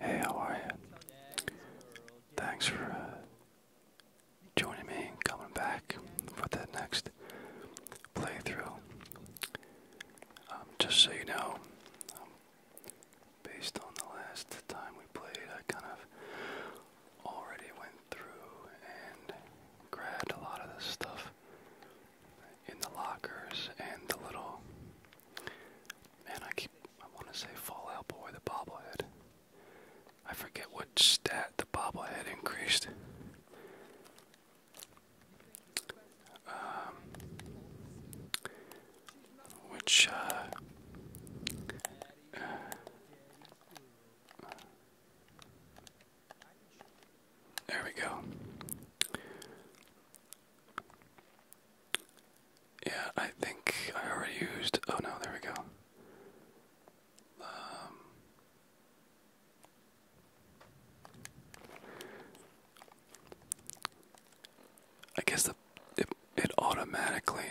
Hey, how are you? Thanks for uh, joining me and coming back for that next playthrough. Um, just so you know, um, based on the last time we played, I kind of already went through and grabbed a lot of this stuff in the lockers and the little Man, I keep I want to say Fallout Boy, the bobblehead. I forget what stat the bobblehead increased. Um, which uh, there we go. Yeah, I think I already used. Oh no, there we go. Um, I guess the it automatically.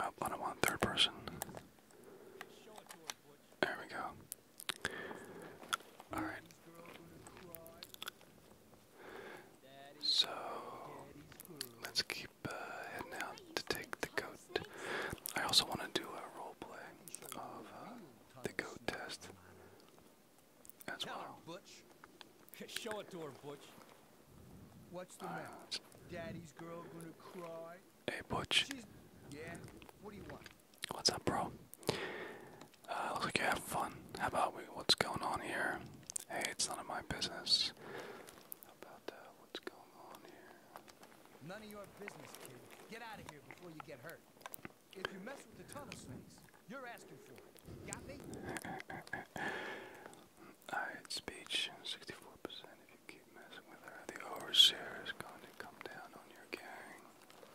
Oh, I don't want third person. There we go. All right. So let's keep uh, heading out to take the goat. I also want to do a role play of uh, the goat test as well. Butch. Show it to her, Butch. What's the matter? Daddy's girl gonna cry. Hey, Butch. She's yeah. What do you want? What's up, bro? Uh, looks like you have fun. How about we, what's going on here? Hey, it's none of my business. Uh, none of your business, kid. Get out of here before you get hurt. If you mess with the tunnel snakes, you're asking for it. Got me? speech. 64% if you keep messing with her. The overseer is going to come down on your gang.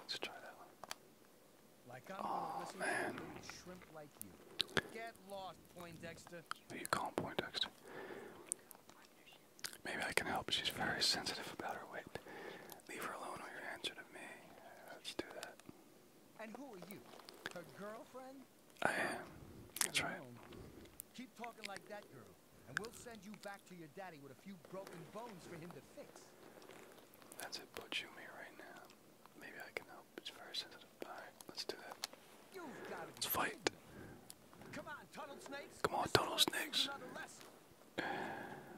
Let's try that one. oh, man. Shrimp like you. Get lost, Poindexter. Who Maybe I can help. She's very sensitive about her weight. Leave her alone or your answer to me. Let's do that. And who are you? Her girlfriend? I am. That's right. Keep and we'll send you back to your daddy with a few broken bones for him to fix. That's it, Butchumi right now. Maybe I can help. It's very sensitive. let's do that. Let's fight. Come on, Tunnel Snakes. Come on, Tunnel Snakes.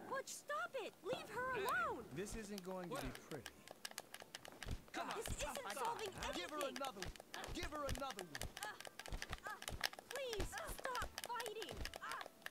Butch, stop it. Leave her alone. This isn't going to be pretty. Come on. This isn't solving anything. Give her another Give her uh, another uh, please, stop fighting. Uh,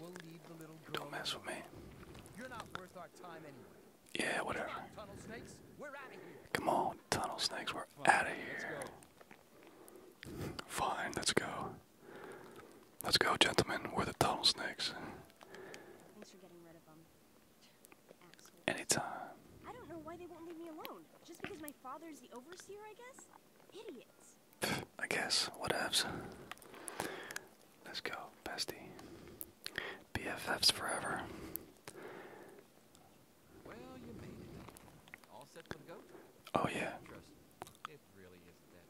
We'll leave the little girl. Don't mess with me. You're not worth our time anyway. Yeah, whatever. Tunnel snakes, we're out of here. Come on, tunnel snakes, we're out of here. Let's Fine, let's go. Let's go, gentlemen. We're the tunnel snakes. Anytime. I guess. Whatevs. Let's go, bestie. BFFs forever. Well, you made it. Oh yeah. It really isn't that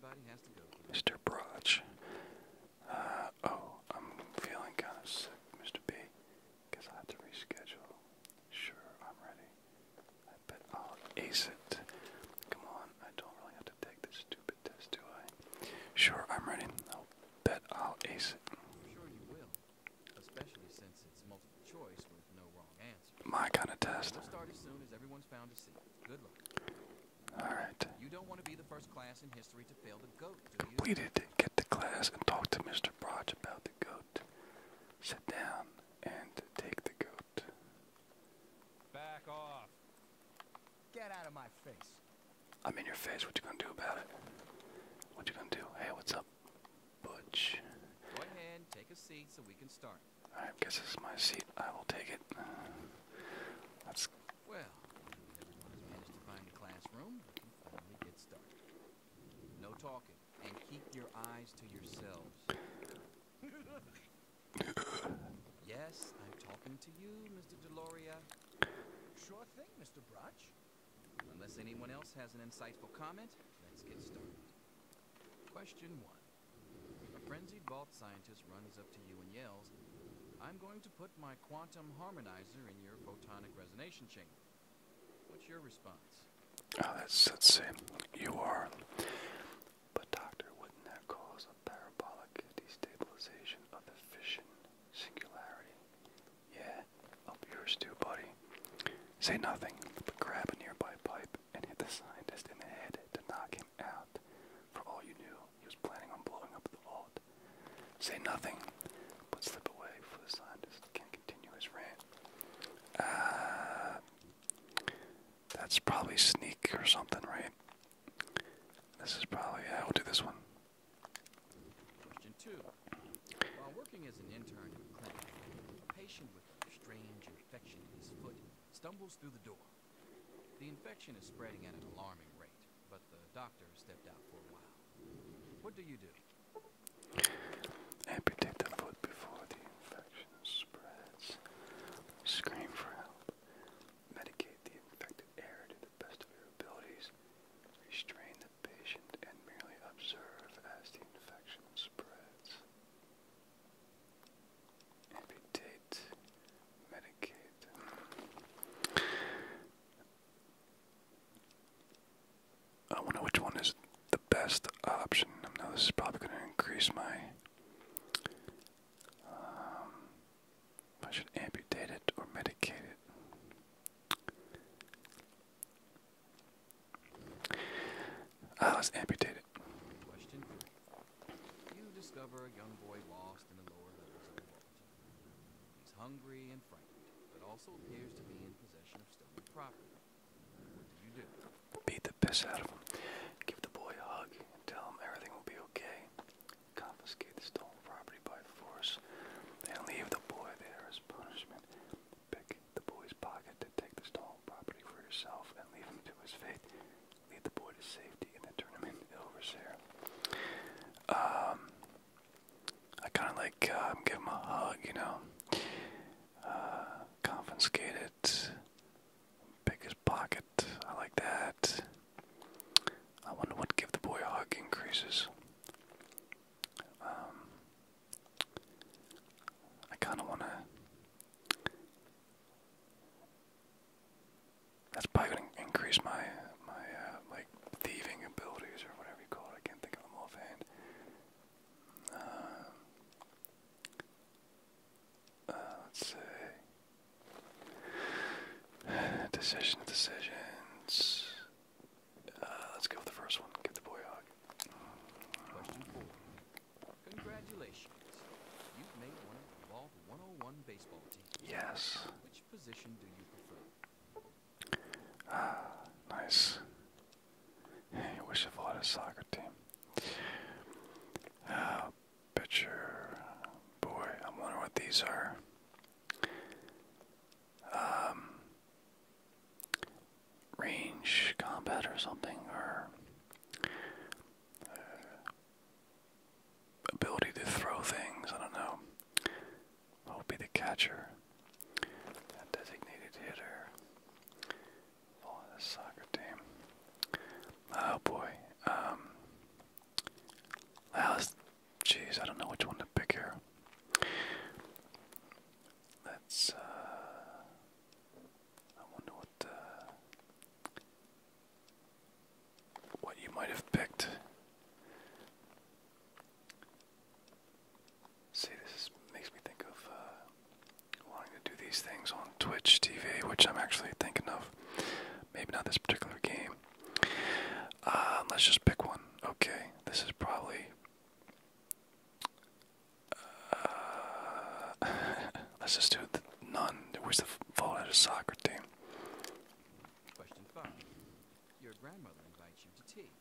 bad. Mr. Broch. Uh oh, I'm feeling kind of sick, Mr. B. Guess I have to reschedule. Sure, I'm ready but I'll ace it. Come on, I don't really have to take this stupid test, do I? Sure, I'm ready. I'll bet I'll ace it. Sure you will, especially since it's multiple choice with no wrong answer. My kind of test. start as soon as everyone's found a seat. Good luck. Alright. Completed. Get to class and talk to Mr. Broch about the goat. Sit down and take the goat. Back off. Get out of my face. I'm in your face. What you gonna do about it? What you gonna do? Hey, what's up, Butch? Go ahead, take a seat so we can start. I guess this is my seat. I will take it. let's. Well, everyone's managed to find the classroom. finally get started. No talking, and keep your eyes to yourselves. Yes, I'm talking to you, Mr. Deloria. Sure thing, Mr. Brotch. Unless anyone else has an insightful comment, let's get started. Question one. A frenzied vault scientist runs up to you and yells, I'm going to put my quantum harmonizer in your photonic resonance chamber. What's your response? Oh, that's, let's see. You are but doctor, wouldn't that cause a parabolic destabilization of the fission singularity? Yeah, up yours too, buddy. Say nothing, but grab a nearby pipe and hit the scientist in the head to knock him out. For all you knew, he was planning on blowing up the vault. Say nothing, but slip away For the scientist can not continue his rant. Ah. That's probably sneak or something, right? This is probably, yeah, we'll do this one. Question two. While working as an intern in a clinic, a patient with a strange infection in his foot stumbles through the door. The infection is spreading at an alarming rate, but the doctor stepped out for a while. What do you do? Amputate the foot before the infection spreads. Scream for help. Medicate the infected air to the best of your abilities. Restrain the patient and merely observe as the infection spreads. Amputate. Medicate. I wonder which one is the best option. Now, this is probably going to increase my um, I should amputate it or medicate it. Ah, uh, let's amputate it. You discover a young boy lost in the lower levels of the vault. He's hungry and frightened, but also appears to be in possession of stolen property. What do you do? Beat beat the piss out of him. Give the boy a hug and tell him everything will be okay. Confiscate the stolen property by force and leave the boy there as punishment. Pick the boy's pocket to take the stolen property for yourself and leave him to his fate. Lead the boy to safety and then turn him into overseer. Um, I kind of like um, give him a hug, you know. Uh, confiscate Biggest pocket. I like that. I wonder what give the boy a hug increases. Um, I kind of want to. That's probably going to increase my my uh, like thieving abilities or whatever you call it. I can't think of them offhand. Um, let's see. Decision decisions. Uh, let's go with the first one. Give the boy a hug. Congratulations. You've made one of the Vault 101 baseball team. Yes. Ah, nice. I wish I had a soccer team. Uh, picture. Boy, I wonder what these are. Um, range combat or something, or uh, ability to throw things. I don't know. I'll be the catcher, designated hitter. Follow oh, the soccer team. Oh boy. Um. Last. Jeez, I don't know which one to pick here. Let's. Uh, I wonder what. Uh, what you might have picked. See, this makes me think of uh, wanting to do these things on Twitch TV, which I'm actually thinking of. Maybe not this particular game. Uh, let's just pick one. Okay, this is probably. Uh, let's just do the none. Where's the fallout of soccer team? Question five. Your grandmother invites you to tea,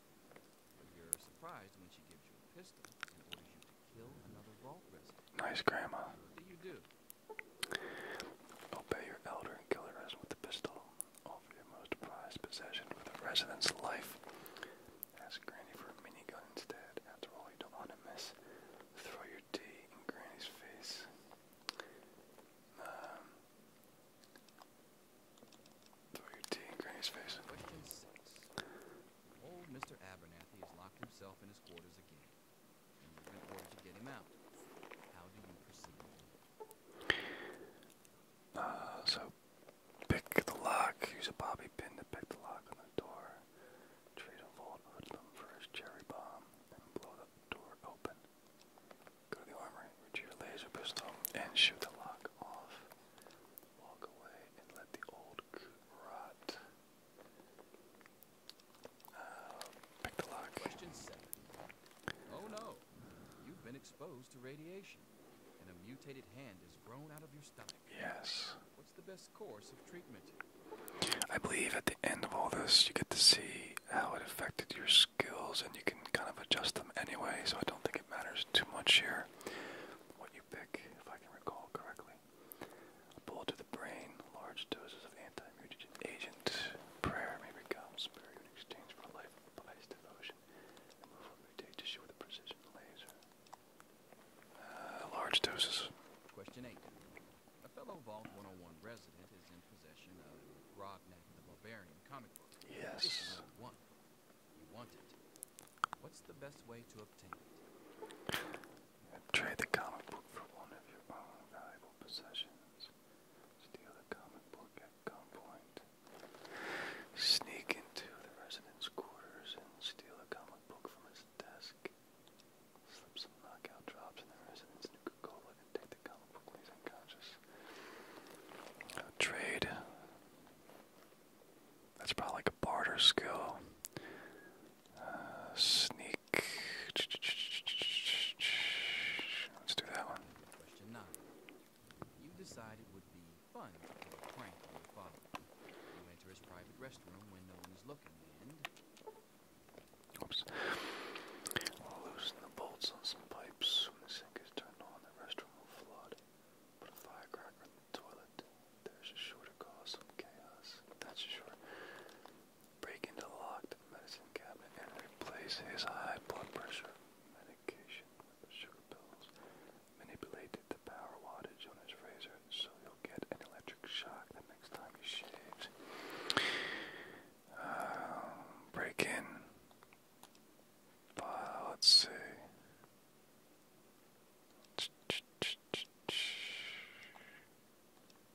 but you're surprised when she gives you a pistol and orders you to kill another vault resident. Nice grandma. What do you do? Obey your elder and kill the resident with the pistol. Offer your most prized possession with the resident's life. Ask Granny for a minigun instead. After all, you don't want to miss. Throw your tea in Granny's face. Um, throw your tea in Granny's face. Old Mr. Abernathy has locked himself in his quarters again. Uh, so pick the lock. Use a bobby pin to pick the lock on the door. Trade a vault hoodlum for his cherry bomb and blow the door open. Go to the armory, retrieve a laser pistol, and shoot the lock off. Walk away and let the old coot rot. Uh, oh, exposed to radiation, and a mutated hand has grown out of your stomach. Yes. What's the best course of treatment? I believe at the end of all this, you get to see how it affected your skills, and you can kind of adjust them anyway. So I don't think it matters too much here what you pick, if I can recall correctly pull to the brain, large doses of anti-mutagen agent, prayer may become spirit exchange for life, pious devotion, removal of mutate tissue with a precision laser. Uh, large doses. Question 8. A fellow Vault 101 resident is in possession of Rognak the Barbarian comic book. Yes. One. You want it. What's the best way to obtain it? Trade the comic book for one of your own valuable possessions. Steal the comic book at gunpoint. Sneak into the resident's quarters and steal a comic book from his desk. Slip some knockout drops in the resident's new Nuka-Cola and take the comic book when he's unconscious. trade. That's probably like a barter skill. Uh, sneak. Let's do that one. Question nine. You decide would be fun to your father. You his private restroom when no one is looking, and. Oops. Loosen the bolts on some pipes. When the sink is turned on, the restroom will flood. Put a firecracker in the toilet. There's a sure cause some chaos. That's sure break into the locked medicine cabinet and replace his high blood pressure medication with sugar pills. Manipulated the power wattage on his razor so you'll get an electric shock the next time he shaves. Um, break in. let's see.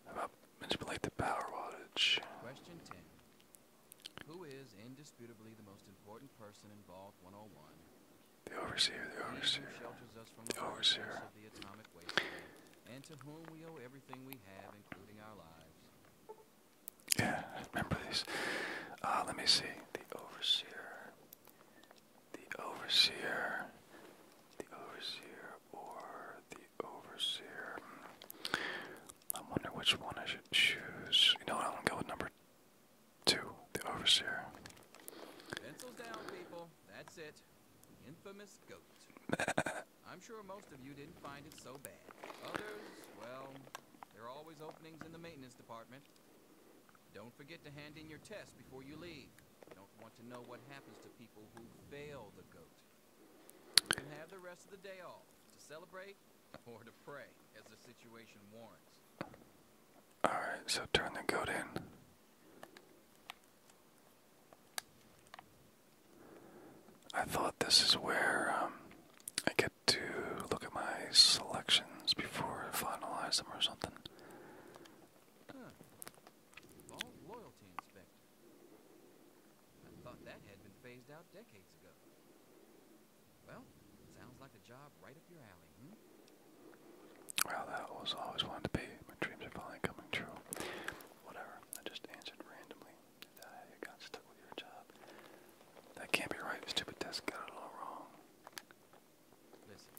How about manipulate the power wattage? Question 10. Who is indisputably the most important person involved 101? The overseer, the overseer, the overseer. and to whom we owe everything we have, including our lives. Yeah, remember these. Uh, let me see. The overseer. The overseer. The overseer or the Overseer. I wonder which one I should choose. You know what? I'm gonna go with number two, the Overseer. Pencils down, people. That's it. The infamous goat. I'm sure most of you didn't find it so bad. Others, well, there are always openings in the maintenance department. Don't forget to hand in your test before you leave. Don't want to know what happens to people who fail the goat. You can have the rest of the day off to celebrate or to pray as the situation warrants. Alright, so turn the goat in. I thought this is where um, I get to look at my selections before I finalize them or something. Huh. loyalty inspector. I thought that had been phased out decades ago. Well, sounds like a job right up your alley, hmm? Well, that was always wanted to be. My dreams are finally coming true. Whatever. I just answered randomly. I got stuck with your job. That can't be right. Stupid desk got it all wrong. Listen,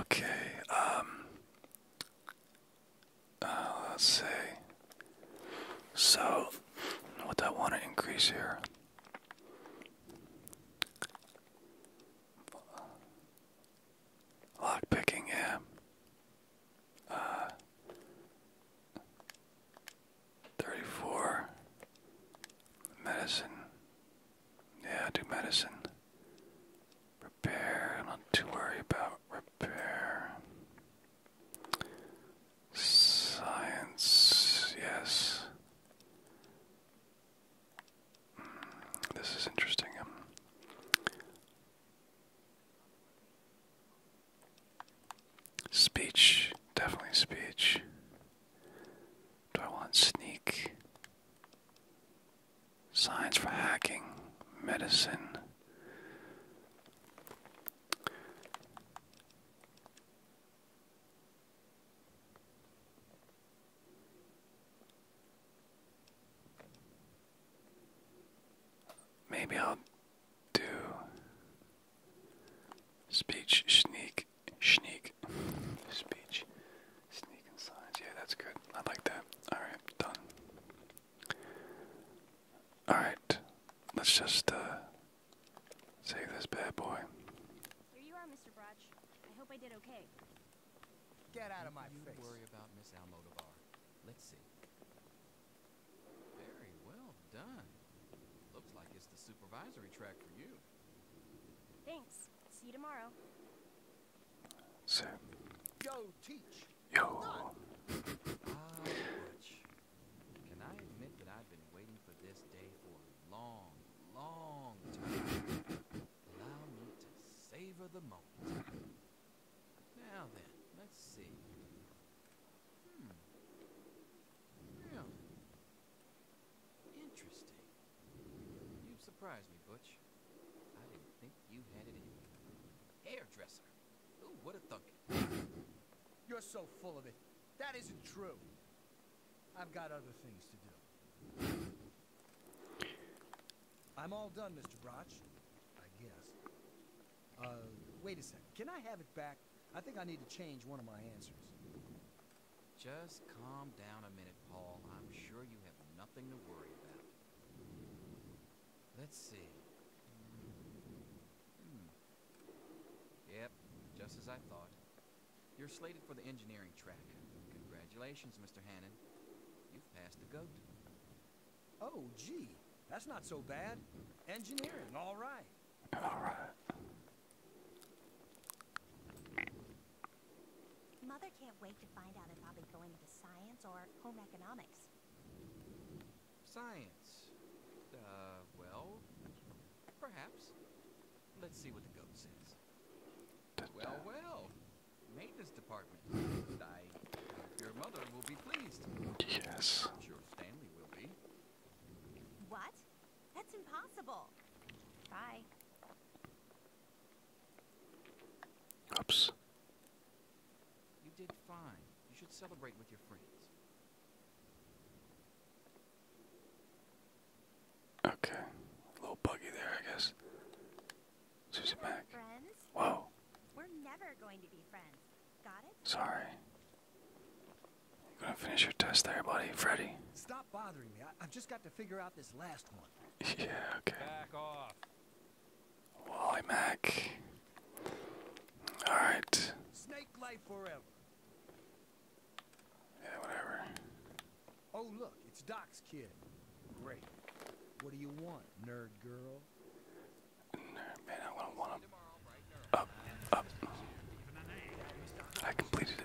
okay, um, uh, let's see. So, what I want to increase here. Lock picking, yeah. Uh, 34. Medicine. Yeah, do medicine. Repair. not too worried about repair. Science. Yes. this is interesting. Um, speech, definitely speech. Do I want sneak? Science for hacking, medicine. Maybe I'll do speech sneak sneak, sneak, speech, sneaking signs. Yeah, that's good. I like that. All right, done. All right, let's just uh, save this bad boy. Here you are, Mr. Broch. I hope I did okay. Get out of my you Do You worry about Miss Almodovar. Let's see. Very well done. Looks like it's the supervisory track for you. Thanks. See you tomorrow. So. Yo. Can I admit that I've been waiting for this day for a long, long time? Allow me to savor the moment. Now then, let's see. Hmm. Yeah. Interesting. You surprised me, Butch. I didn't think you had it in. Hairdresser. Who what a thug. You're so full of it. That isn't true. I've got other things to do. I'm all done, Mr. Broch. I guess. Uh, wait a second. Can I have it back? I think I need to change one of my answers. Just calm down a minute, Paul. I'm sure you have nothing to worry about. Let's see. Hmm. Yep, just as I thought. You're slated for the engineering track. Congratulations, Mr. Hannon. You've passed the goat. Oh, gee. That's not so bad. Engineering, all right. Mother can't wait to find out if I'll be going to science or home economics. Science? Uh, well, perhaps. Let's see what the goat says. Well, well. Maintenance department. your mother will be pleased. Yes. sure Stanley will be. What? That's impossible. Bye. Oops. You did fine. You should celebrate with your friends. Okay. A little buggy there, I guess. Susie Mac. Whoa. We're never going to be friends. Got it? Sorry. You're gonna finish your test there, buddy, Freddy. Stop bothering me. I, have just got to figure out this last one. yeah, okay. Back off. Wally Mac. All right. Snake life forever. Yeah, whatever. Oh look, it's Doc's kid. Great. What do you want, nerd girl? Nerd man, I want to want him. Up, up. I completed it.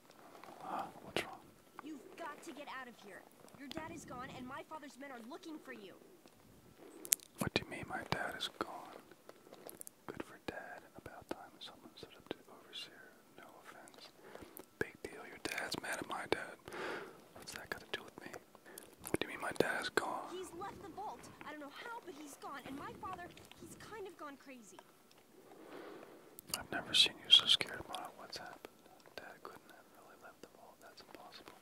What do you mean, my dad is gone? Good for dad. About time someone stood to overseer. No offense. Big deal. Your dad's mad at my dad. What's that got to do with me? What do you mean my dad is gone? He's left the vault. I don't know how, but he's gone. And my father, he's kind of gone crazy. I've never seen you so scared, Mom. What's happened? Dad couldn't have really left the ball. That's impossible.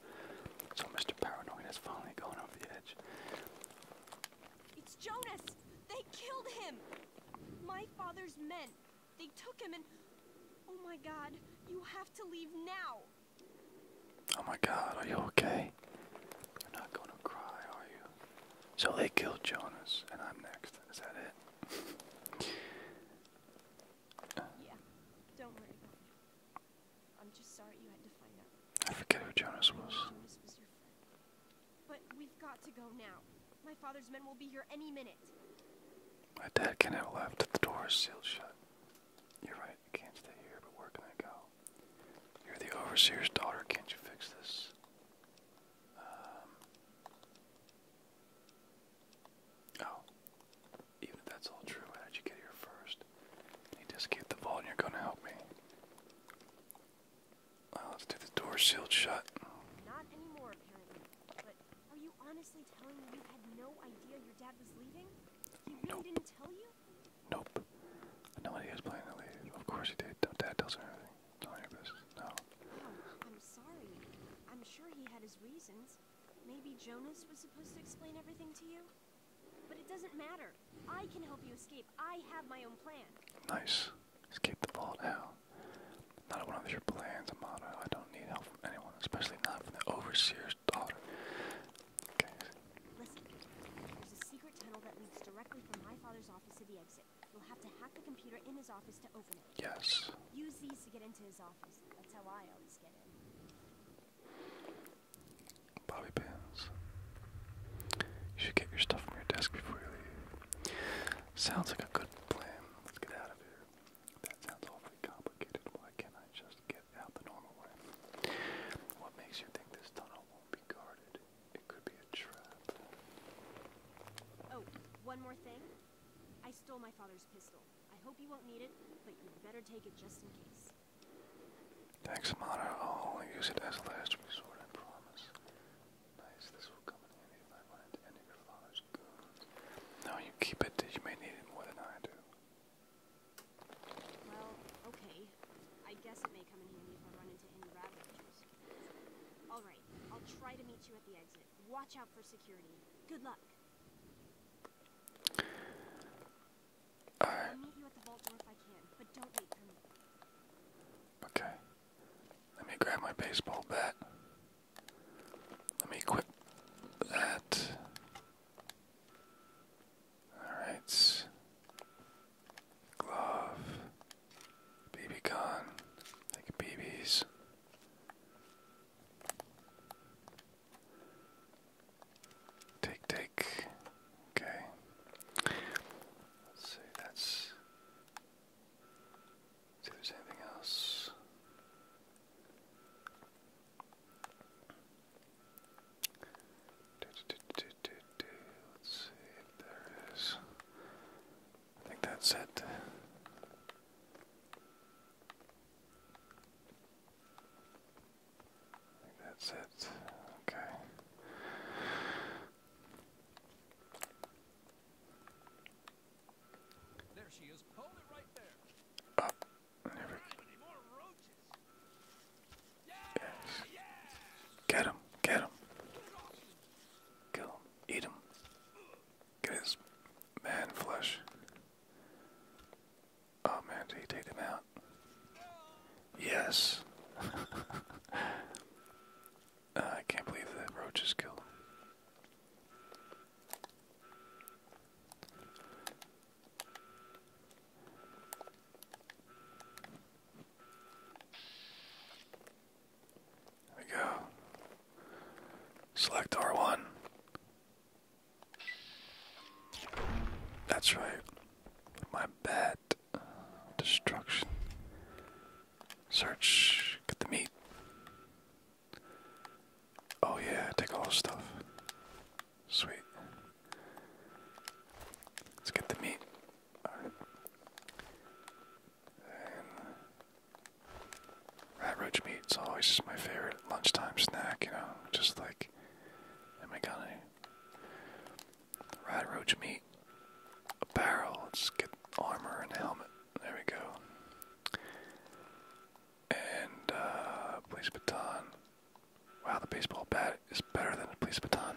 So Mr. Paranoid is finally going over the edge. It's Jonas! They killed him! My father's men. They took him and... Oh my god, you have to leave now! Oh my god, are you okay? You're not gonna cry, are you? So they killed Jonas, and I'm next. Is that it? i forget who Jonas was. But we've got to go now. My father's men will be here any minute. My dad can not have left. The door sealed shut. You're right, I can't stay here, but where can I go? You're the overseer's daughter, can't you fix this? Um, oh, even if that's all true, how did you get here first? You just keep the ball, and you're gonna help me. Well, let's do the door sealed shut. nope. Nope. No was planning to leave. Of course he did. dad tells everything telling oh, I'm sorry. I'm sure he had his reasons. Maybe Jonas was supposed to explain everything to you? But it doesn't matter. I can help you escape. I have my own plan. Nice. Escape the vault now. Not one of your plans, Amada. I don't need help from anyone, especially not from the overseer's daughter. Okay you will have to hack the computer in his office to open it. Yes. Use these to get into his office. That's how I always get in. Bobby pins. You should get your stuff from your desk before you leave. Sounds like a good plan. Let's get out of here. That sounds awfully complicated. Why can't I just get out the normal way? What makes you think this tunnel won't be guarded? It could be a Oh, one more thing. I stole my father's pistol. I hope you won't need it, but you'd better take it just in case. Thanks, Amada. I'll use it as last resort, I promise. Nice, this will come in handy if I run into any of your No, you keep it. You may need it more than I do. Well, okay. I guess it may come in handy if I run into any ravagers. All right, I'll try to meet you at the exit. Watch out for security. Good luck. All Okay. Let me grab my baseball bat. Let me equip that. All right. Glove. BB gun, like BBs. Take, take. Okay. Let's see, that's. Let's else. Let's see if there is. I think that's it. I think that's it. Okay. There she is. right there. Up. there we go. Yes. Get him. Get him. Kill Eat him. Get his man flesh. Oh man, did he take him out? Yes. Uh, I can't believe that roach is we go. Select R1. That's right. My bad. Destruction. Search. Get the meat. Oh yeah, take all the stuff. Sweet. Let's get the meat. Alright. And rat roach meat's always my favorite lunchtime snack, you know, just like, am I gonna rat meat, a barrel, let's get armor and helmet, there we go. And, uh, police baton. Wow, the baseball bat is better than a police baton.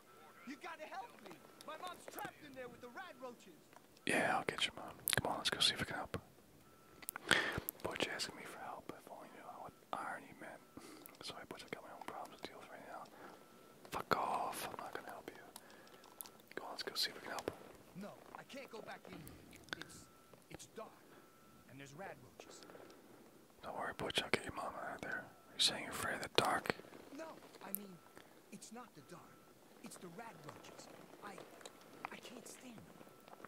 Yeah, I'll get your mom. Come on, let's go see if we can help. Butch asking me for help. If only knew what Sorry, Butch, I got my own problems to deal right now. Fuck off. I'm not gonna help you. Come on, let's go see if we can help. No, I can't go back in. It's it's dark, and there's rat roaches. Don't worry, Butch. I'll get your mom out there. You're saying you're afraid of the dark? No, I mean, it's not the dark. It's the rat roaches. I, I can't stand them.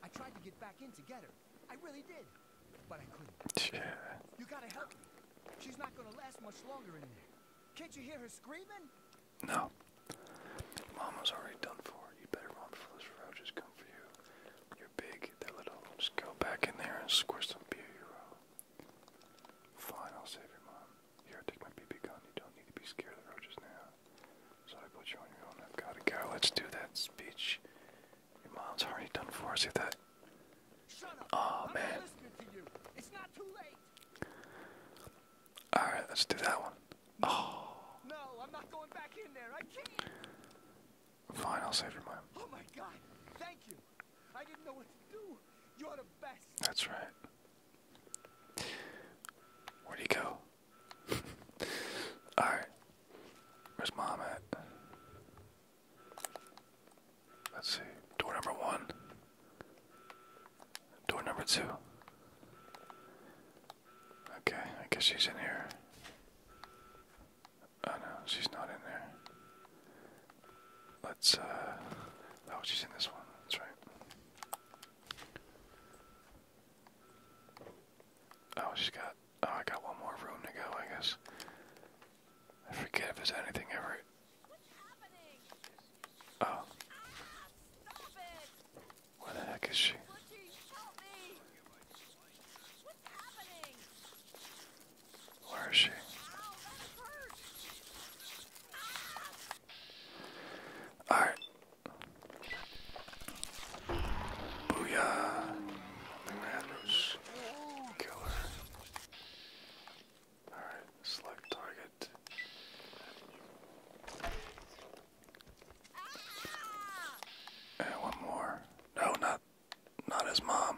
I tried to get back in together. I really did, but I couldn't. Yeah. You gotta help me. She's not gonna last much longer in there. Can't you hear her screaming? No. Mama's already done for. You better run before those roaches come for you. You're big, they're little. Just go back in there and squish them, be a hero. Fine, I'll save your mom. Here, take my BB gun. You don't need to be scared of roaches now. So I put you on your own. I've got to go. Let's do that speech. Your mom's already done for us. See that? Shut up. I'm man. To you. It's not too late. All right, let's do that one. Oh. No, I'm not going back in there. I can't. Fine, I'll save your mom. Oh my God! Thank you. I didn't know what to do. You're the best. That's right. Where'd he go? Alright. Where's mom at? Let's see. Door number one. Door number two. Okay, I guess she's in here. Oh no, she's not in there. Let's, uh, was oh, she's in this one, that's right. Oh, she just got, oh, I got one more room to go, I guess. I forget if there's anything ever. Oh. What the heck is she? Where is she? Alright. Booyah. Madness. Kill her. Alright, select target. And one more. No, not not his mom.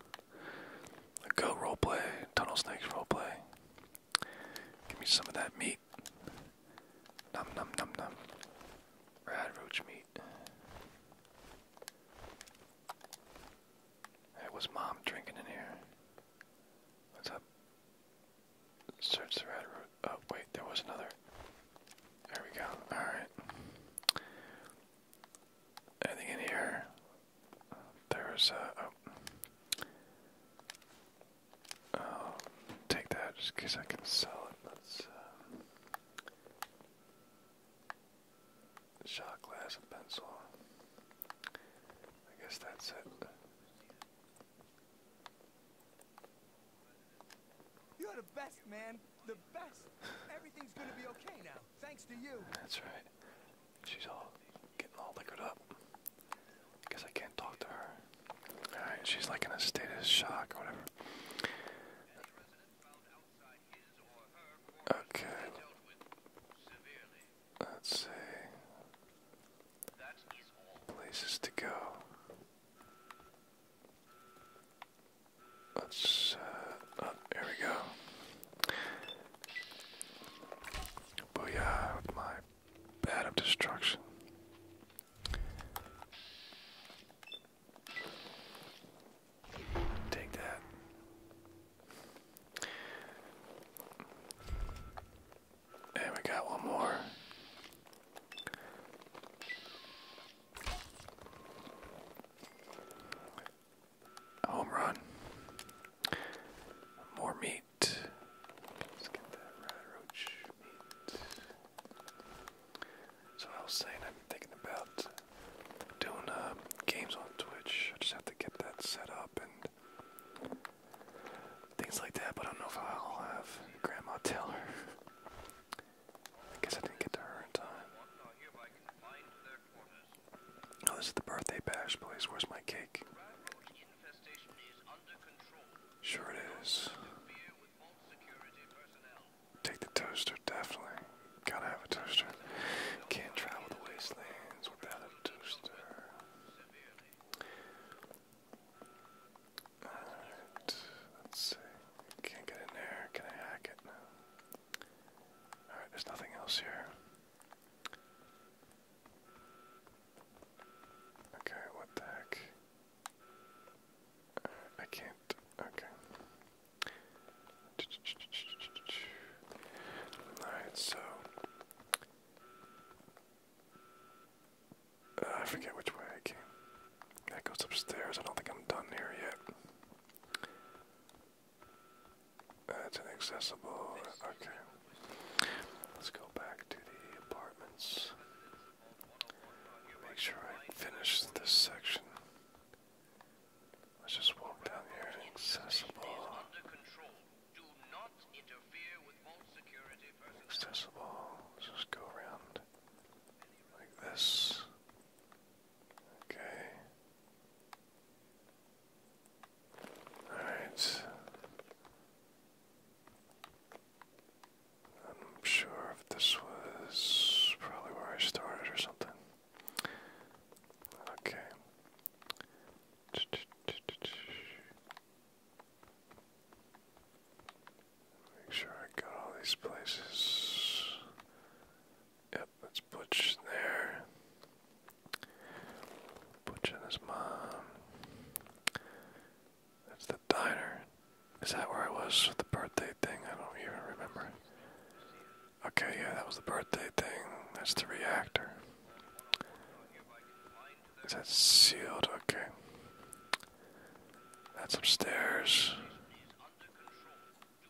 A go roleplay, tunnel snakes roleplay. Give me some of that meat. Num num num num. Rad meat. Hey, what's mom drinking in here? What's up? Search the rad Oh, wait, there was another. There we go. Alright anything in here? There's a. Oh. take that just I can sell it. Let's. Uh, shot glass and pencil. I guess that's it. You're the best, man. The best. Everything's gonna be okay now, thanks to you. That's right. She's all getting all liquored up. Guess I can't talk to her. she's like in a state of shock or whatever. Okay. Let's see. Places to go. Let's, uh, there oh, we go. Booyah with my bat of destruction. Take that. And we got one more home run. More meat. So I was saying I've been thinking about doing uh, games on Twitch. I just have to get that set up and things like that. But I don't know if I'll have Grandma Taylor. I guess I didn't get to her in time. Oh, this is the birthday bash place. Where's my cake? Sure it is. Take the toaster, definitely. Gotta have a toaster. Can't travel the wastelands without a toaster. Alright, let's see. Can't get in there. Can I hack it? Alright, there's nothing else here. Okay, what the heck? I can't. Okay. Alright, so. Uh, I forget which way I came. That goes upstairs. I don't think I'm done here yet. That's inaccessible. Okay. Let's go back to the apartments. Make sure I finish this section. Let's just walk down here. Accessible. Accessible. just go around like this. Okay. Alright. I'm sure if this was probably where I started or something. Okay. Make sure I got all these places. Yep, that's Butch there. Butch and his mom. That's the diner. Is that where I was with the birthday thing? I don't even remember. Okay, yeah, that was the birthday thing. That's the reactor. Is that sealed? Okay. That's upstairs.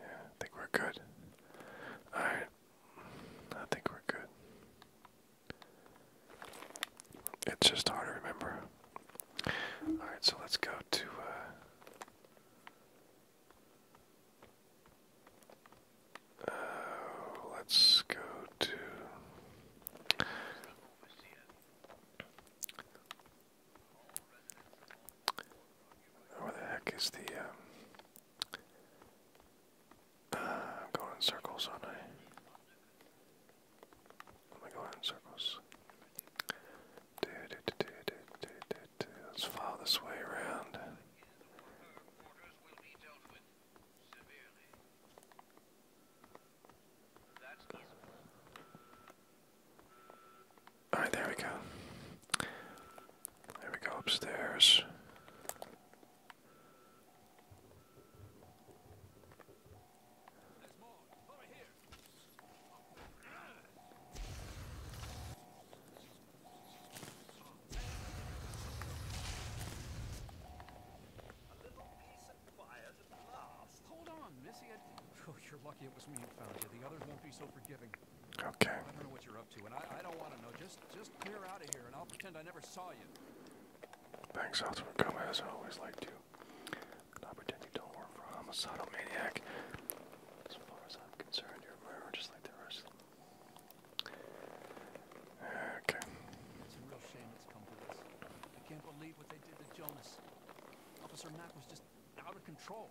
Yeah, I think we're good. Alright. I think we're good. It's just hard to remember. Alright, so let's go to uh, oh, let's go to where the heck is the? Um, uh, I'm going in circles, aren't I? Am going in circles? Let's follow this way around. Alright, there we go. There we go upstairs. Hold on, Missy. Oh, you're lucky it was me who found you. The others won't be so forgiving. Okay. I don't know what you're up to, and I, don't want to know. Just, clear out of here, and I'll pretend I never saw you. Thanks, Alton, for coming, as I always like to. And I pretend you don't work for a homicidal maniac. As far as I'm concerned, you're a murderer just like the rest. Okay. It's a real shame it's come to this. I can't believe what they did to Jonas. Officer Mack was just out of control.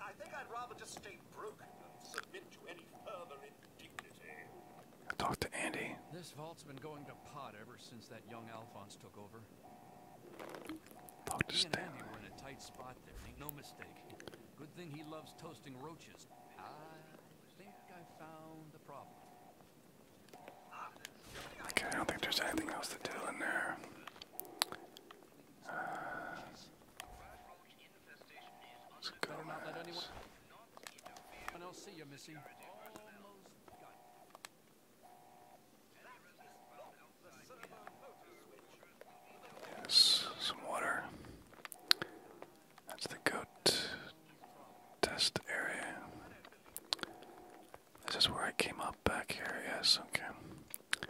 I think I'd rather just stay broken than submit to any further indignity. I talked to Andy. This vault's been going to pot ever since that young Alphonse took over. Talk to in a tight spot there, make no mistake. Good thing he loves toasting roaches. I think I found the problem. Okay, I don't think there's anything else to do in there. Uh, let's go Yes, some water. That's the goat. Test area. This is where I came up back here, yes, okay.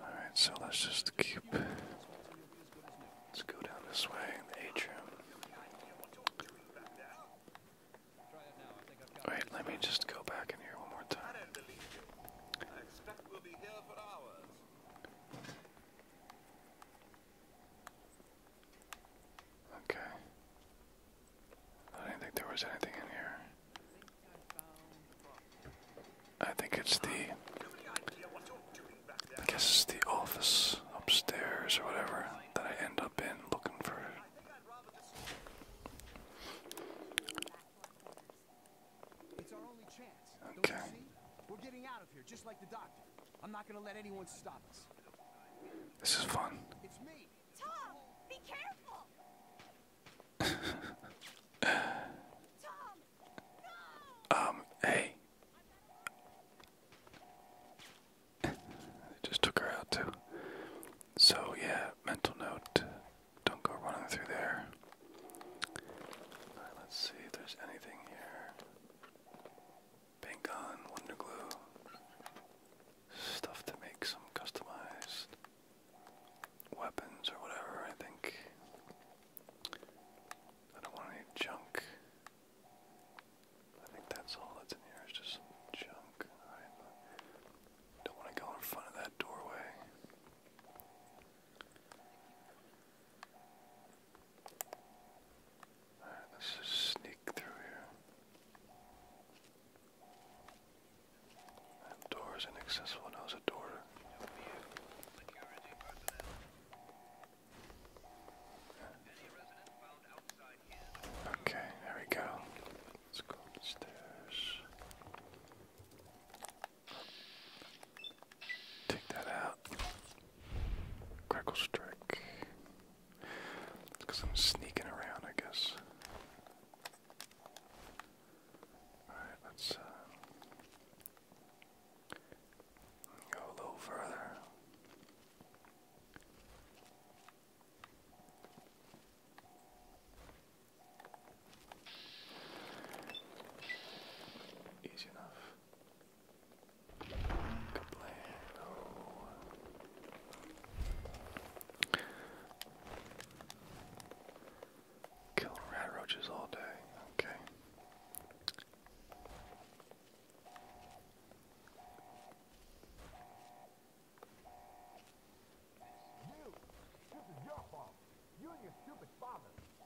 Alright, so let's just keep. Let's go down this way atrium. Alright, let me just go back in here one more time. Okay. I didn't think there was anything in here. I think it's the. I guess it's the office upstairs or whatever that I end up in looking for. Okay. We're getting out of here just like the doctor. I'm not gonna let anyone stop us. This is fun. It's me. Um, hey. just took her out too. So yeah, mental note. Don't go running through there. let's see if there's anything here. Paint Gun, Wonder Glue. Stuff to make some customized weapons or whatever, I think. I don't want any junk. I think that's all that's in here, is just junk. don't want to go in front of that doorway. Alright, let's just sneak through here. That door is inaccessible, now there's a door. Okay, there we go. Let's go upstairs. Take that out. Crackle strike because I'm sneaking around, I guess. Alright, let's uh, go a little further. Easy enough. Killing rat roaches all day. Okay.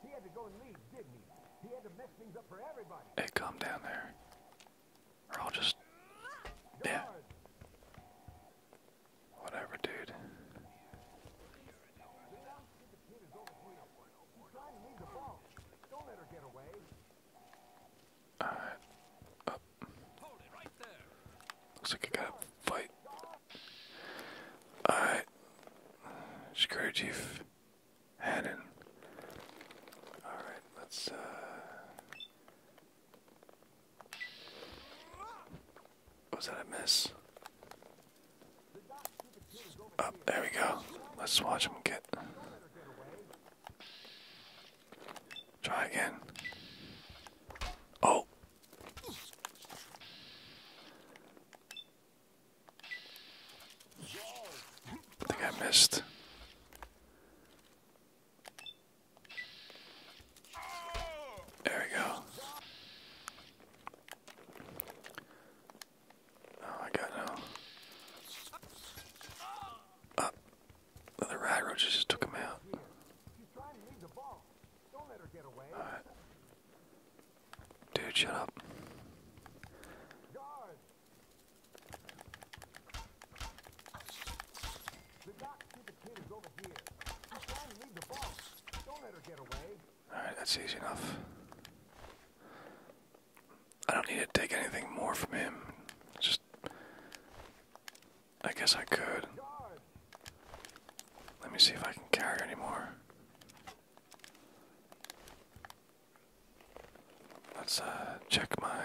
He had to go and leave, did he? had to mess things up for everybody. Hey, calm down there. I'll just. Yeah. Whatever, dude. Alright. Up. Looks like I gotta fight. Alright. Security Chief Hannon. Alright, let's uh was that a miss? Up, oh, there we go. Let's watch him get. Try again. Oh. I think I missed. There we go. Oh, I got no. Up. Oh, the rag just took him out. Alright. Dude, shut up. Alright, that's easy enough. I don't need to take anything more from him. Just. I guess I could. Let me see if I can carry any more. Let's uh, check my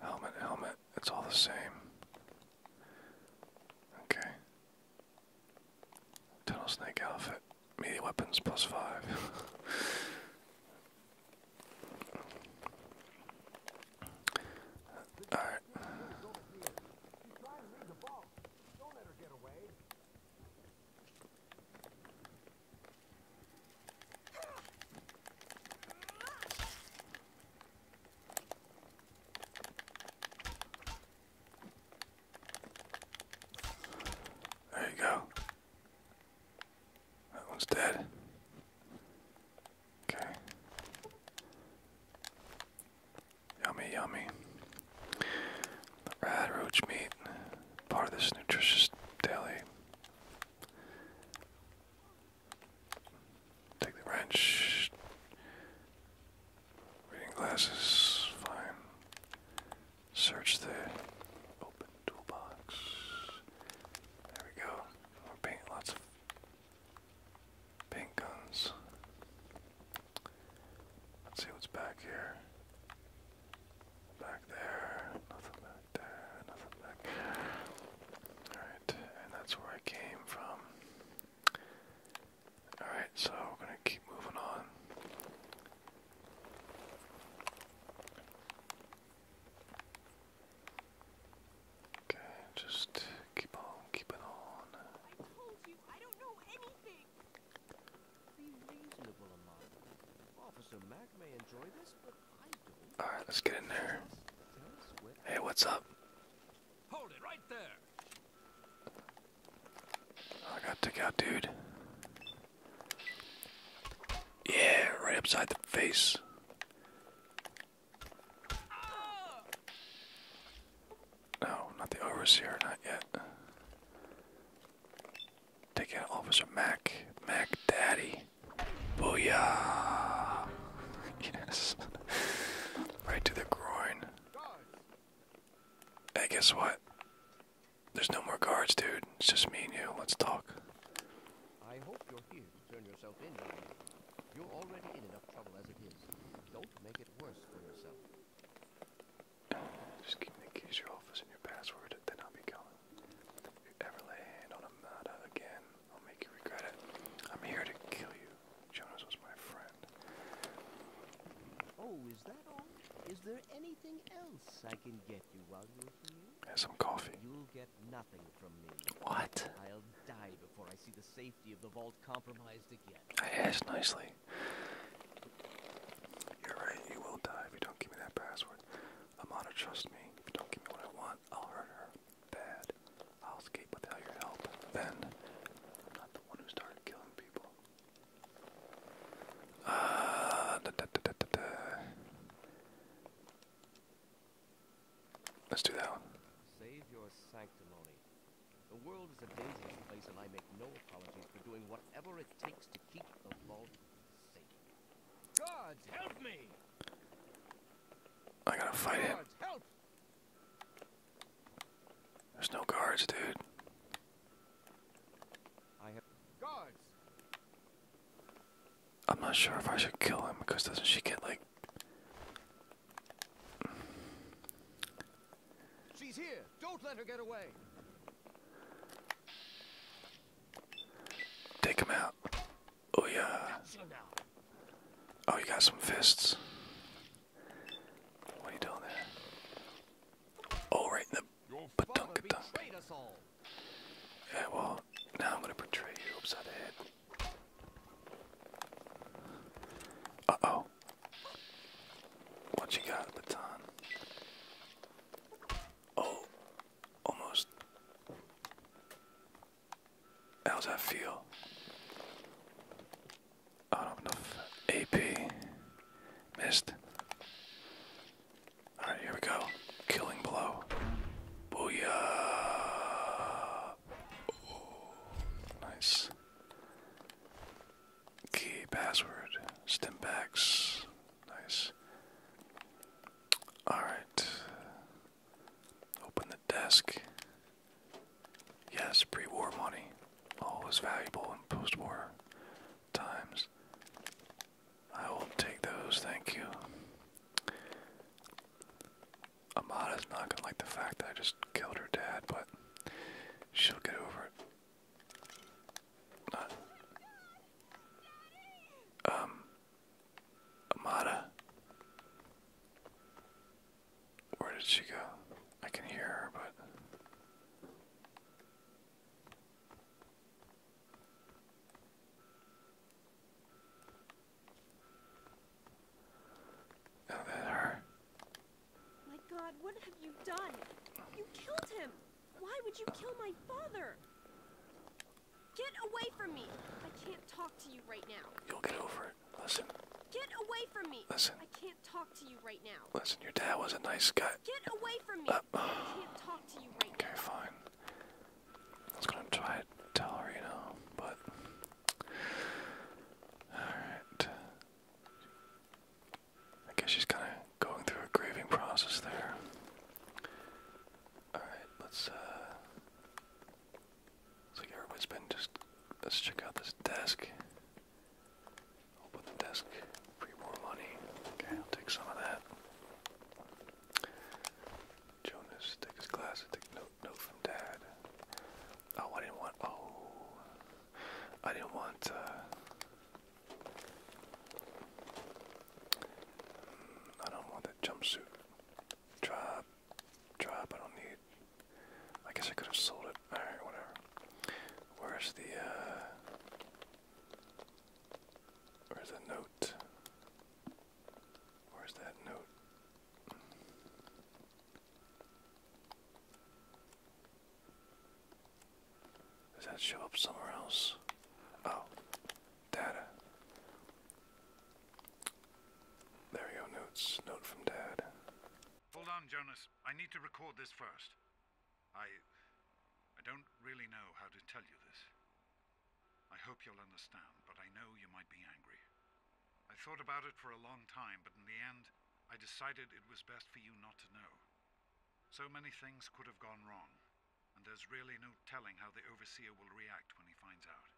helmet, helmet. It's all the same. Okay. Tunnel snake outfit. Melee weapons plus five. Alright. There you go. That one's dead. Okay. Yummy, yummy. The meat, part of this nutritious daily. Take the wrench. Reading glasses, fine. Search the open toolbox. There we go. More paint, lots of paint guns. Let's see what's back here. Back there, nothing back there, nothing back Alright, and that's where I came from. Alright, so we're gonna keep moving on. Okay, just keep on keeping on. All right, let's get in there. Hey, what's up? Oh, I got took out, dude. Yeah, right upside the face. No, not the overseer, not yet. Take it, Officer Mac. Mac Daddy. Booyah! yes. right to the groin. Hey, guess what? There's no more guards, dude. It's just me and you. Let's talk. I hope you're here to turn yourself in. is. Don't make it worse for yourself. Just keep the keys to your office and your password, then I'll be coming. If you ever lay hand on a again, I'll make you regret it. I'm here to kill you. Jonas was my friend. Oh, is that all? Is there anything else I can get you while you're here? Have some coffee. You'll get nothing from me. What? I'll die before I see the safety of the vault compromised again. I asked nicely. You're right, you will die if you don't give me that password. Amana, trust me. don't give me what I want, I'll hurt her. Bad. I'll escape without your help. Ben, I'm not the one who started killing people. Uh, Let's do that one. Save your sanctimony. The world is a dangerous place, and I make no apologies for doing whatever it takes to I gotta fight him. There's no guards, dude. I'm not sure if I should kill him because doesn't she get like She's here. Don't let her get away. Take him out. Oh yeah. Oh, you got some fists. What are you doing there? Oh, right in the badunka dunk. Yeah, well, now I'm gonna portray you upside the head. Uh oh. What you got, baton? Oh, almost. How's that feel? Oh do enough AP. Missed. Alright, here we go. Killing blow. Booyah! Oh, nice. Key password. Stimpaks. Nice. Alright. Open the desk. Yes, pre war money. Always valuable in post war times. I will take those, thank you. Amada's not gonna like the fact that I just killed her dad, but she'll get over it. Um. Amada. Where did she go? I can hear her, but. Oh, that her. My God, what have you done? You killed him. Why would you kill my father? Get away from me! I can't talk to you right now. You'll get over it. Listen. Get away from me! Listen. I can't talk to you right now. Listen, your dad was a nice guy. Get away from me! Uh, I can't talk to you right now. Okay, fine. I was gonna try to tell her, you know, but. Alright. I guess she's kind of going through a grieving process there. All right, let's. Uh, everybody's been just. Let's check out this desk. Open the desk. Free more money. Okay, I'll take some of that. Jonas, take his glasses. Take note. Note from Dad. Oh, I didn't want. Oh, I didn't want. Uh, I don't want that jumpsuit. Drop. Drop. I don't need. I guess I could have sold it. Alright, whatever. Where's the, uh, Where's the note? Where's that note? Does that show up somewhere else? Oh, data. There we notes. Note from Dad. Hold on, Jonas. I need to record this first. I. I don't really know how to tell you this. I hope you'll understand, but I know you might be angry. I thought about it for a long time, but in the end, I decided it was best for you not to know. So many things could have gone wrong, and there's really no telling how the Overseer will react when he finds out.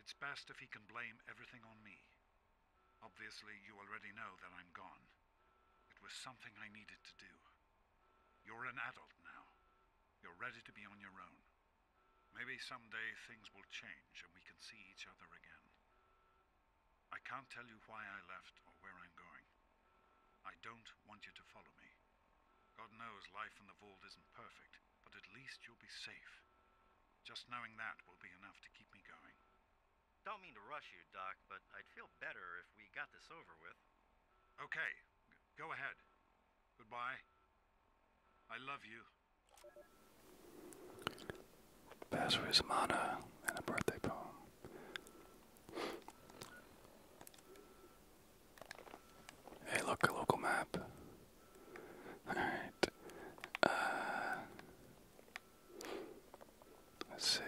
It's best if he can blame everything on me. Obviously, you already know that I'm gone. It was something I needed to do. You're an adult now. You're ready to be on your own. Maybe someday things will change and we can see each other again. I can't tell you why I left or where I'm going. I don't want you to follow me. God knows life in the vault isn't perfect, but at least you'll be safe. Just knowing that will be enough to keep me going. Don't mean to rush you, Doc, but I'd feel better if we got this over with. Okay, go ahead. Goodbye. I love you. Pass for his and a birthday poem. Hey, look, a local map. Alright. Uh, let's see.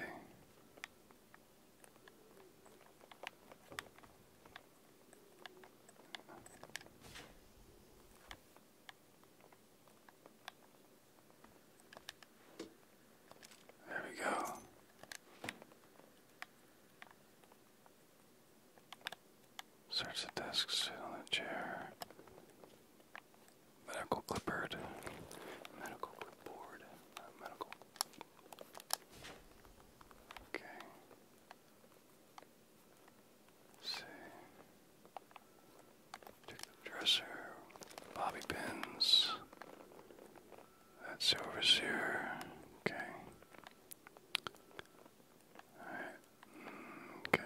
There we go. Search the desk, sit on the chair. Medical clipboard. Medical clipboard. medical. Okay. see. dresser. Bobby pins. That's overseer. Okay. Alright. Okay.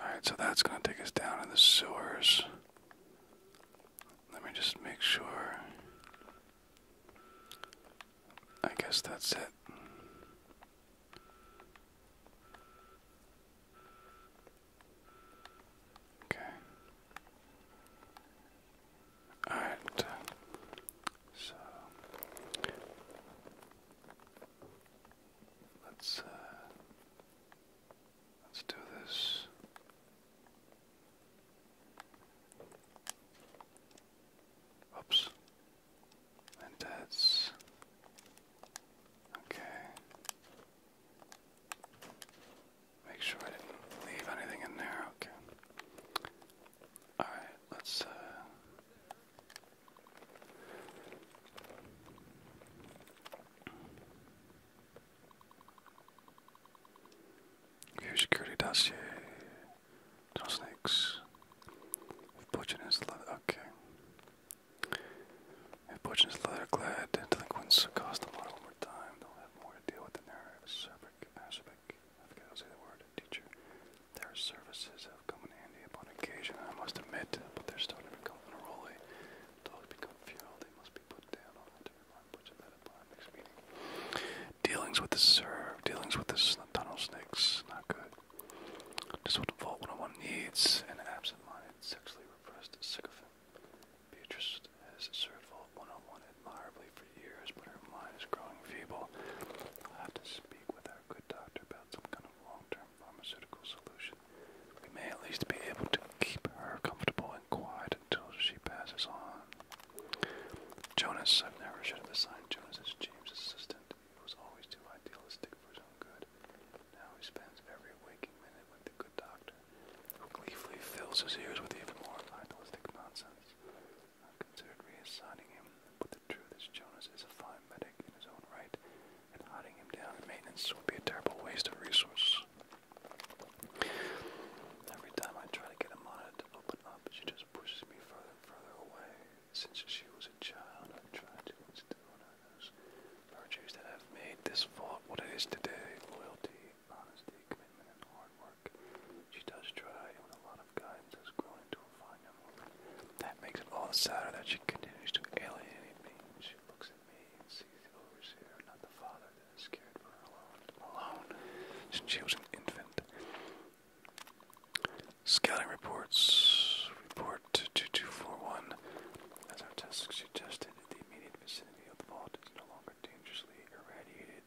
Alright, so that's going to take us down to the sewers. Let me just make sure. I guess that's it. Okay. Alright. So let's uh, let's do this. Oops. And that's okay. Make sure I didn't leave anything in there. Okay. All right. Let's. Uh, security dossier. No snakes. If Butchin Okay. If fortune is leather delinquents cost them one more time. They'll have more to deal with than their acerbic, acerbic, I forget how to say the word, teacher. Their services have come in handy upon occasion, I must admit, but they're starting to become unruly. Dogs become feral, they must be put down on with the serve, dealings with the tunnel snakes, not good. This would involve what one needs an absent minded, sexually repressed sycophant. Beatrice has served Vault 101 admirably for years, but her mind is growing feeble. I'll have to speak with our good doctor about some kind of long term pharmaceutical solution. We may at least be able to keep her comfortable and quiet until she passes on. Jonas, I've never should have assigned Jonas as James' assistant who's always too idealistic for his own good. Now he spends every waking minute with the good doctor, who gleefully fills his ears with even more idealistic nonsense. I considered reassigning him, but the truth is Jonas is a fine medic in his own right, and hiding him down in maintenance would be a terrible waste of resources. Every time I try to get Amana to open up, she just pushes me further and further away. Since she was child, I tried to instill in those virtues that have made this vault what it is today loyalty, honesty, commitment, hard work. She does try, and with a lot of guidance, has grown into a fine young That makes it all the sadder that she continues to alienate me. She looks at me and sees the overseer, not the father that is scared for her alone, alone since she was an infant. Scouting reports report 2241. As our tests suggested, the immediate vicinity of the vault is no longer dangerously irradiated,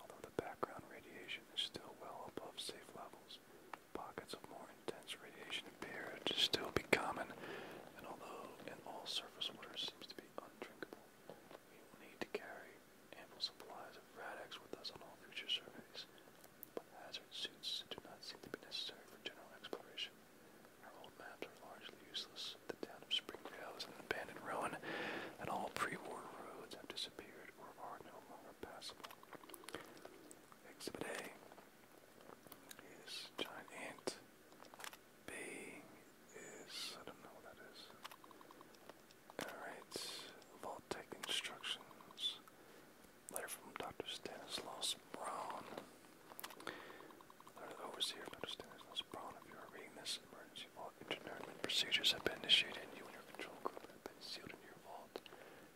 although the background radiation is still well above safe levels. Pockets of more intense radiation appear to still be common, and although all surface water seems to be undrinkable, we will need to carry ample supplies of Radex with us on all future surveys but hazard suits do not seem to be necessary for general exploration. Our old maps are largely useless. The town of Springdale is an abandoned ruin, and all pre-war roads have disappeared or are no longer passable. Exhibit A is giant B is I don't know what that is. Alright, Vault Tech letter from Dr. Stanislaus Brown. Letter to the overseer, Dr. Stanislaus Brown. If you are reading this, emergency vault internment procedures have been initiated, and you and your control group have been sealed into your vault.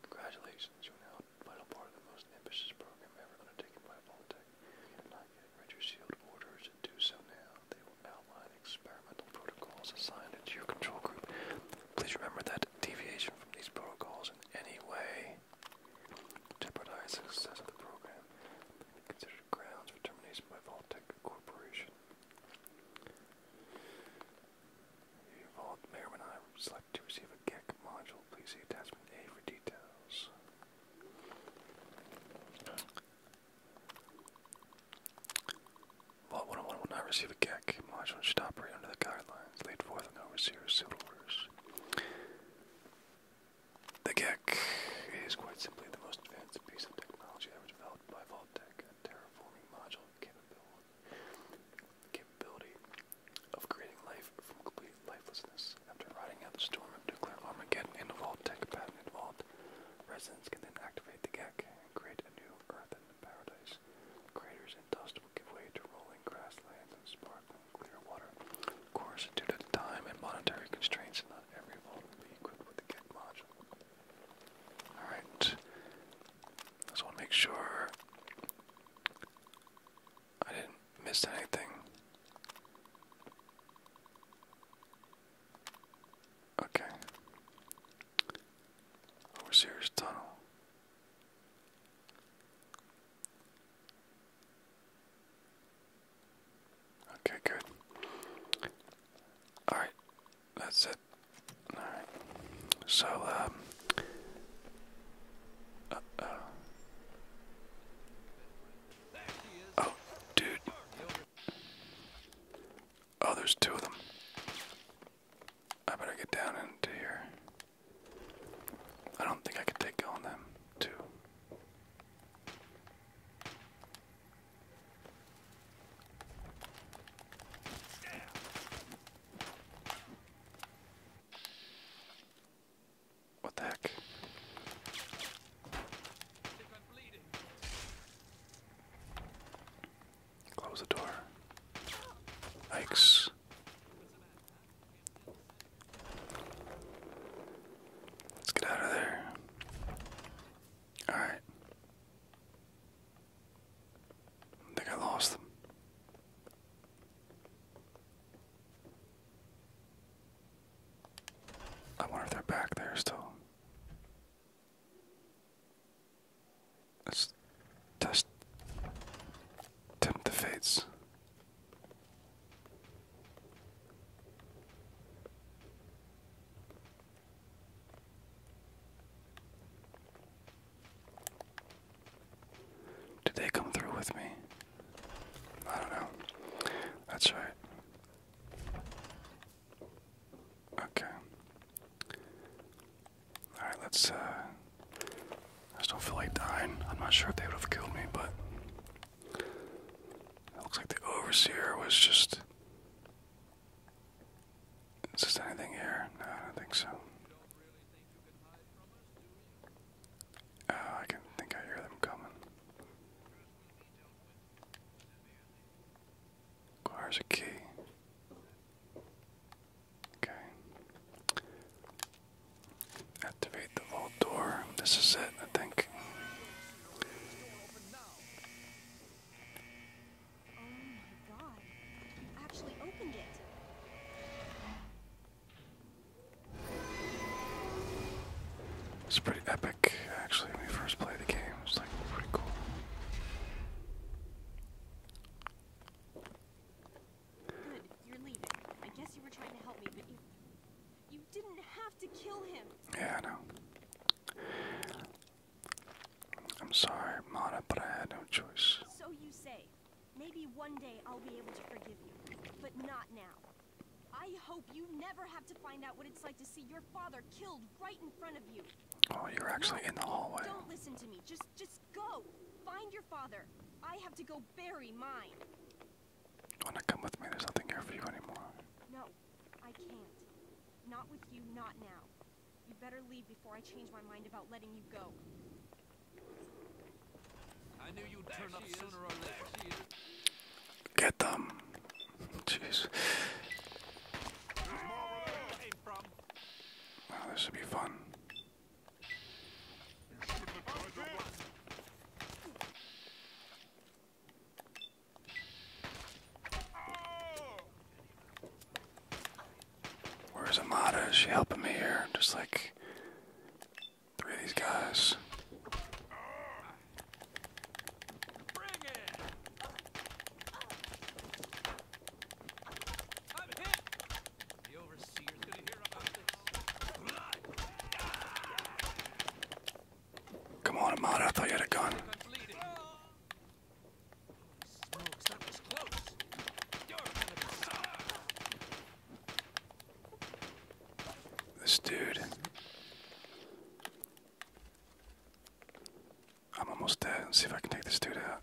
Congratulations, you are now a vital part of the most ambitious program ever undertaken by Vault-Tec. You are not getting read your sealed orders. Do so now. They will outline experimental protocols assigned to your control group. Please remember that deviation from these protocols in any way jeopardize the success of the program may be considered grounds for termination by Voltec Corporation. If you're involved, may or may not select to receive a GEC module. Please see attachment A for details. Vault 101 will not receive a GEC module and should operate under the guidelines laid forth in the overseer's civil orders. The GEC is quite simply the most advanced piece of technology ever developed by Vault-Tec, a terraforming module capability, capability of creating life from complete lifelessness. After riding out the storm of nuclear Armageddon in tech, Vault-Tec vault, residents can then activate the GEC and create a new Earth and paradise. Craters and dust will give way to rolling grasslands and sparkling of course, due to time and monetary constraints, not every vault will be equipped with the get module. Alright. I just want to make sure I didn't miss anything. Okay. Overseer's Tunnel. Okay, good. Alright, that's it. Alright. So, um. Uh, uh Oh, dude. Oh, there's two of them. I better get down into here. I don't think I could take on them, too. What the heck? Close the door. Yikes. Let's get out of there. Alright. I think I lost them. I wonder if they're back there still. Let's test tempt the fates. Did they come through with me? I don't know. That's right. Okay. All right, let's uh, I just don't feel like dying. I'm not sure if they would have killed me, but it looks like the overseer was just. Is this anything here? No, I don't think so. Oh, I can think I hear them coming. Requires a key. Okay. Activate the vault door. This is it, I think. It's pretty epic, actually, when we first played the game. It's like pretty cool. Good, you're leaving. I guess you were trying to help me, but you you didn't have to kill him. Yeah, I know. I'm sorry, Mata, but I had no choice. So you say. Maybe one day I'll be able to forgive you, but not now. I hope you never have to find out what it's like to see your father killed right in front of you. Oh, you're actually no, in the hallway. Don't listen to me. Just just go. Find your father. I have to go Wanna come with me? There's nothing here for you anymore. No, I can't. Not with you, not now. You better leave before I change my mind about letting you go. I knew you'd turn up sooner or later. Get them. Jeez. Oh, this should be fun. Where's Amada? Is she helping me here? Just like three of these guys. Come on, Amada, I thought you had a gun. This dude. I'm almost dead. Let's see if I can take this dude out.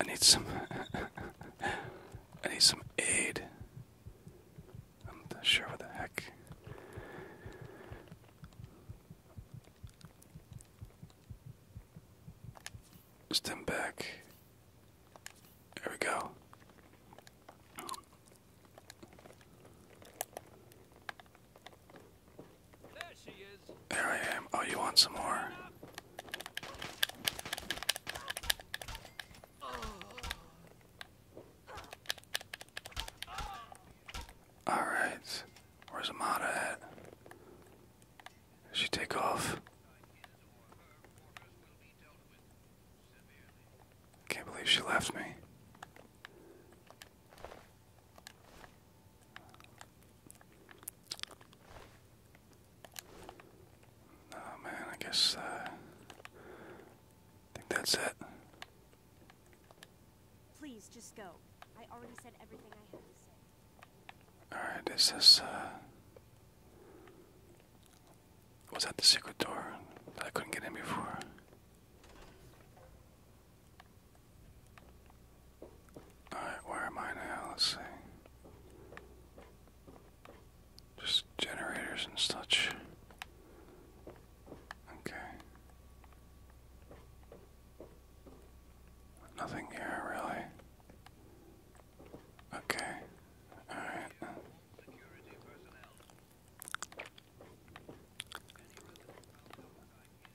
I need some. I need some aid. I'm not sure what the heck. Stem back. There we go. There she is. There I am. Oh, you want some more? Alright. Where's Amada at? Did she take off? Can't believe she left me. Oh man, I guess uh, I think that's it. Please just go. I already said everything I had to say. All right, is this uh was that the secret door that I couldn't get in before? Alright, where am I now? Let's see. Just generators and such. Okay. Nothing here, really. Okay. Alright.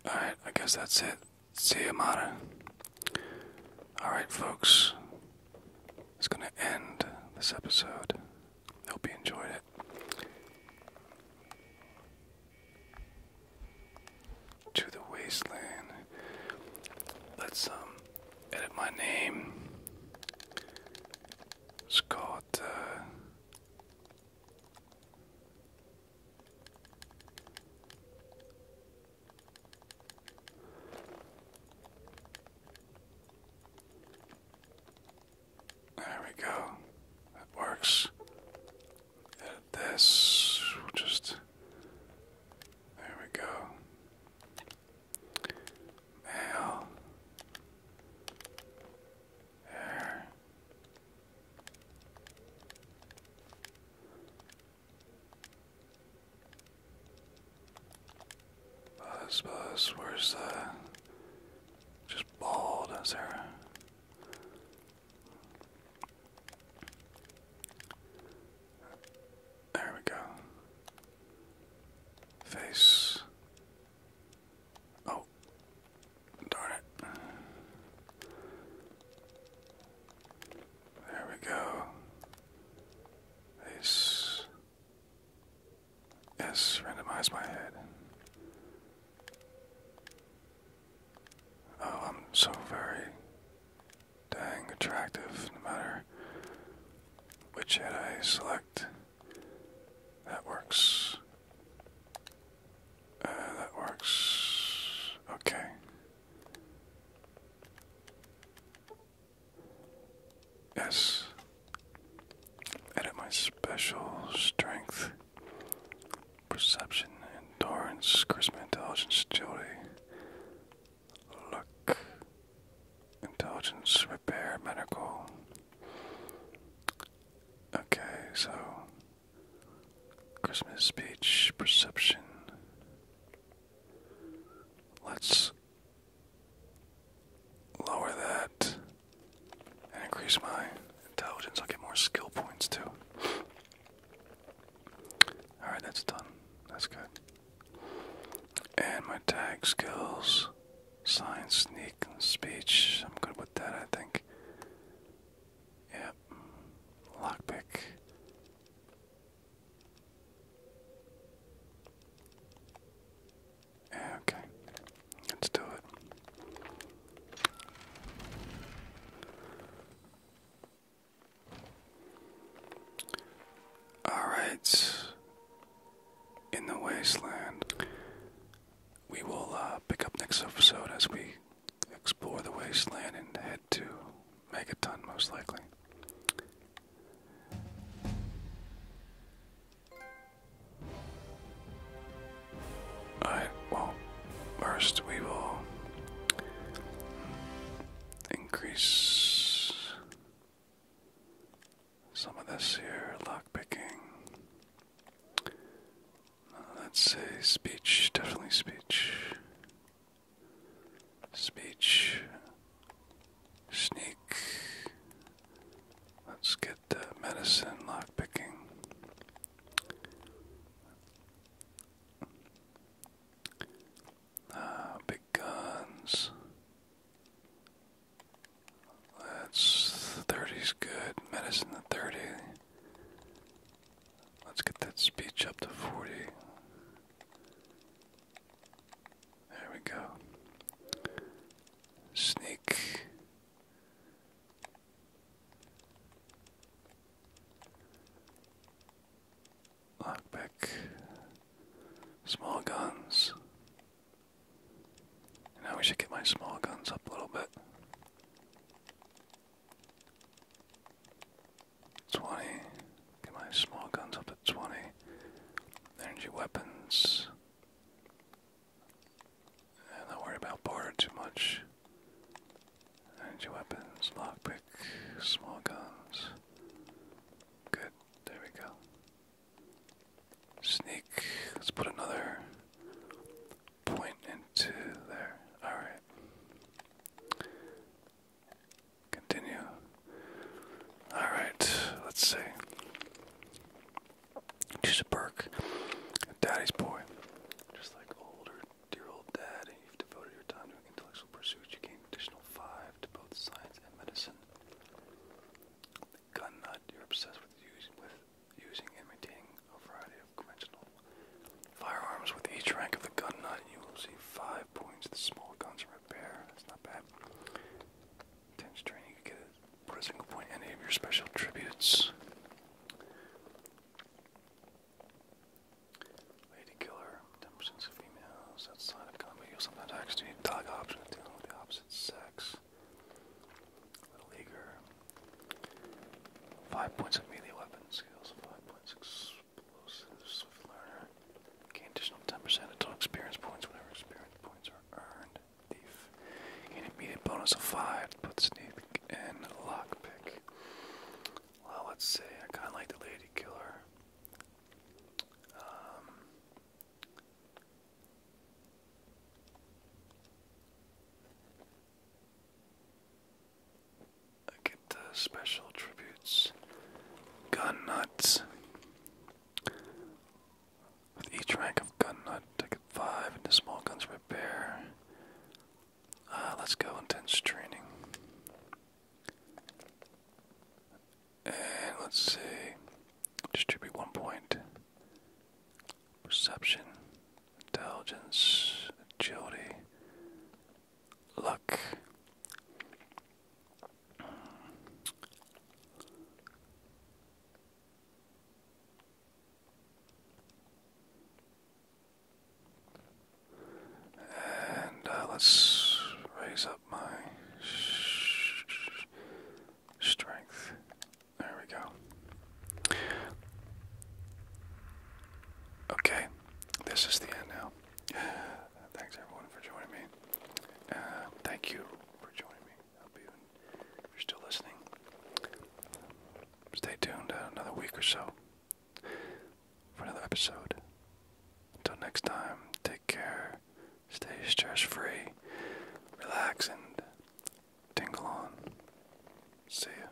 Alright, I guess that's it. See you, Mata. Alright, folks. It's going to end this episode. Hope you enjoyed it. To the wasteland. Let's um, edit my name. let there we go. That works. Edit this. just. There we go. Mail. There. Buzz, buzz, where's the. Uh, just bald, is there? There we go. Face. Oh. Darn it. There we go. Ace. Yes, randomize my head. Oh, I'm so very dang attractive no matter which head I select. That works. Uh, that works. Okay. Yes. Edit my special strength, perception, endurance, charisma, intelligence, agility, luck, intelligence, repair, medical. Okay, so Christmas speech, perception, Let's lower that and increase my intelligence. I'll get more skill points too. Alright, that's done. That's good. And my tag skills science, sneak, and speech. I'm good with that, I think. Yep. Lockpick. Okay, let's do it. All right, in the wasteland, we will uh, pick up next episode as we explore the wasteland and head to Make Megaton, most likely. Alright, well, first we will increase some of this here lock picking. Uh, let's say speech, definitely speech. Speech. Sneak. Let's get the medicine lockpicking. Ah, big guns. That's 30's good. Medicine the 30. Let's get that speech up to 40. There we go. Sneak. Lockpick. Small guns. Now we should get my small guns up a little bit. 20. Get my small guns up to 20. Energy weapons. And not worry about border too much. Energy weapons, lockpick, small guns. Good, there we go. Sneak. Let's put another point into there. Alright. Continue. Alright, let's see. Choose a Daddy's boy. Just like older, dear old dad, you've devoted your time to intellectual pursuits. You gain additional five to both science and medicine. Gun nut, you're obsessed with using, with using and maintaining a variety of conventional Firearms with each rank of the gun nut, you will receive five points. The small guns repair. That's not bad. Intense training, you get it. Put a single point in any of your special tributes. Lady killer, 10 of females outside of combat. You'll sometimes actually need dog option with the opposite sex. Little eager. Five points of melee weapon skills, five point six explosive swift learner. Gain additional 10% of total experience points whenever experience points are earned. Thief. Gain immediate bonus of 5 to sneak and lockpick. Well, let's see. I kind of like the lady killer. Um, I get special tributes. Gun nuts. With each rank of gun nut, I get five into small guns repair. Uh, let's go intense training. And let's see. Distribute one point. Perception, intelligence, agility, look. And uh, let's raise up my strength. There we go. Okay, this is the end now. Uh, thanks everyone for joining me. Uh, thank you for joining me. hope you, are still listening, stay tuned uh, another week or so for another episode. Until next time, take care, stay stress free, relax, and tingle on. See ya.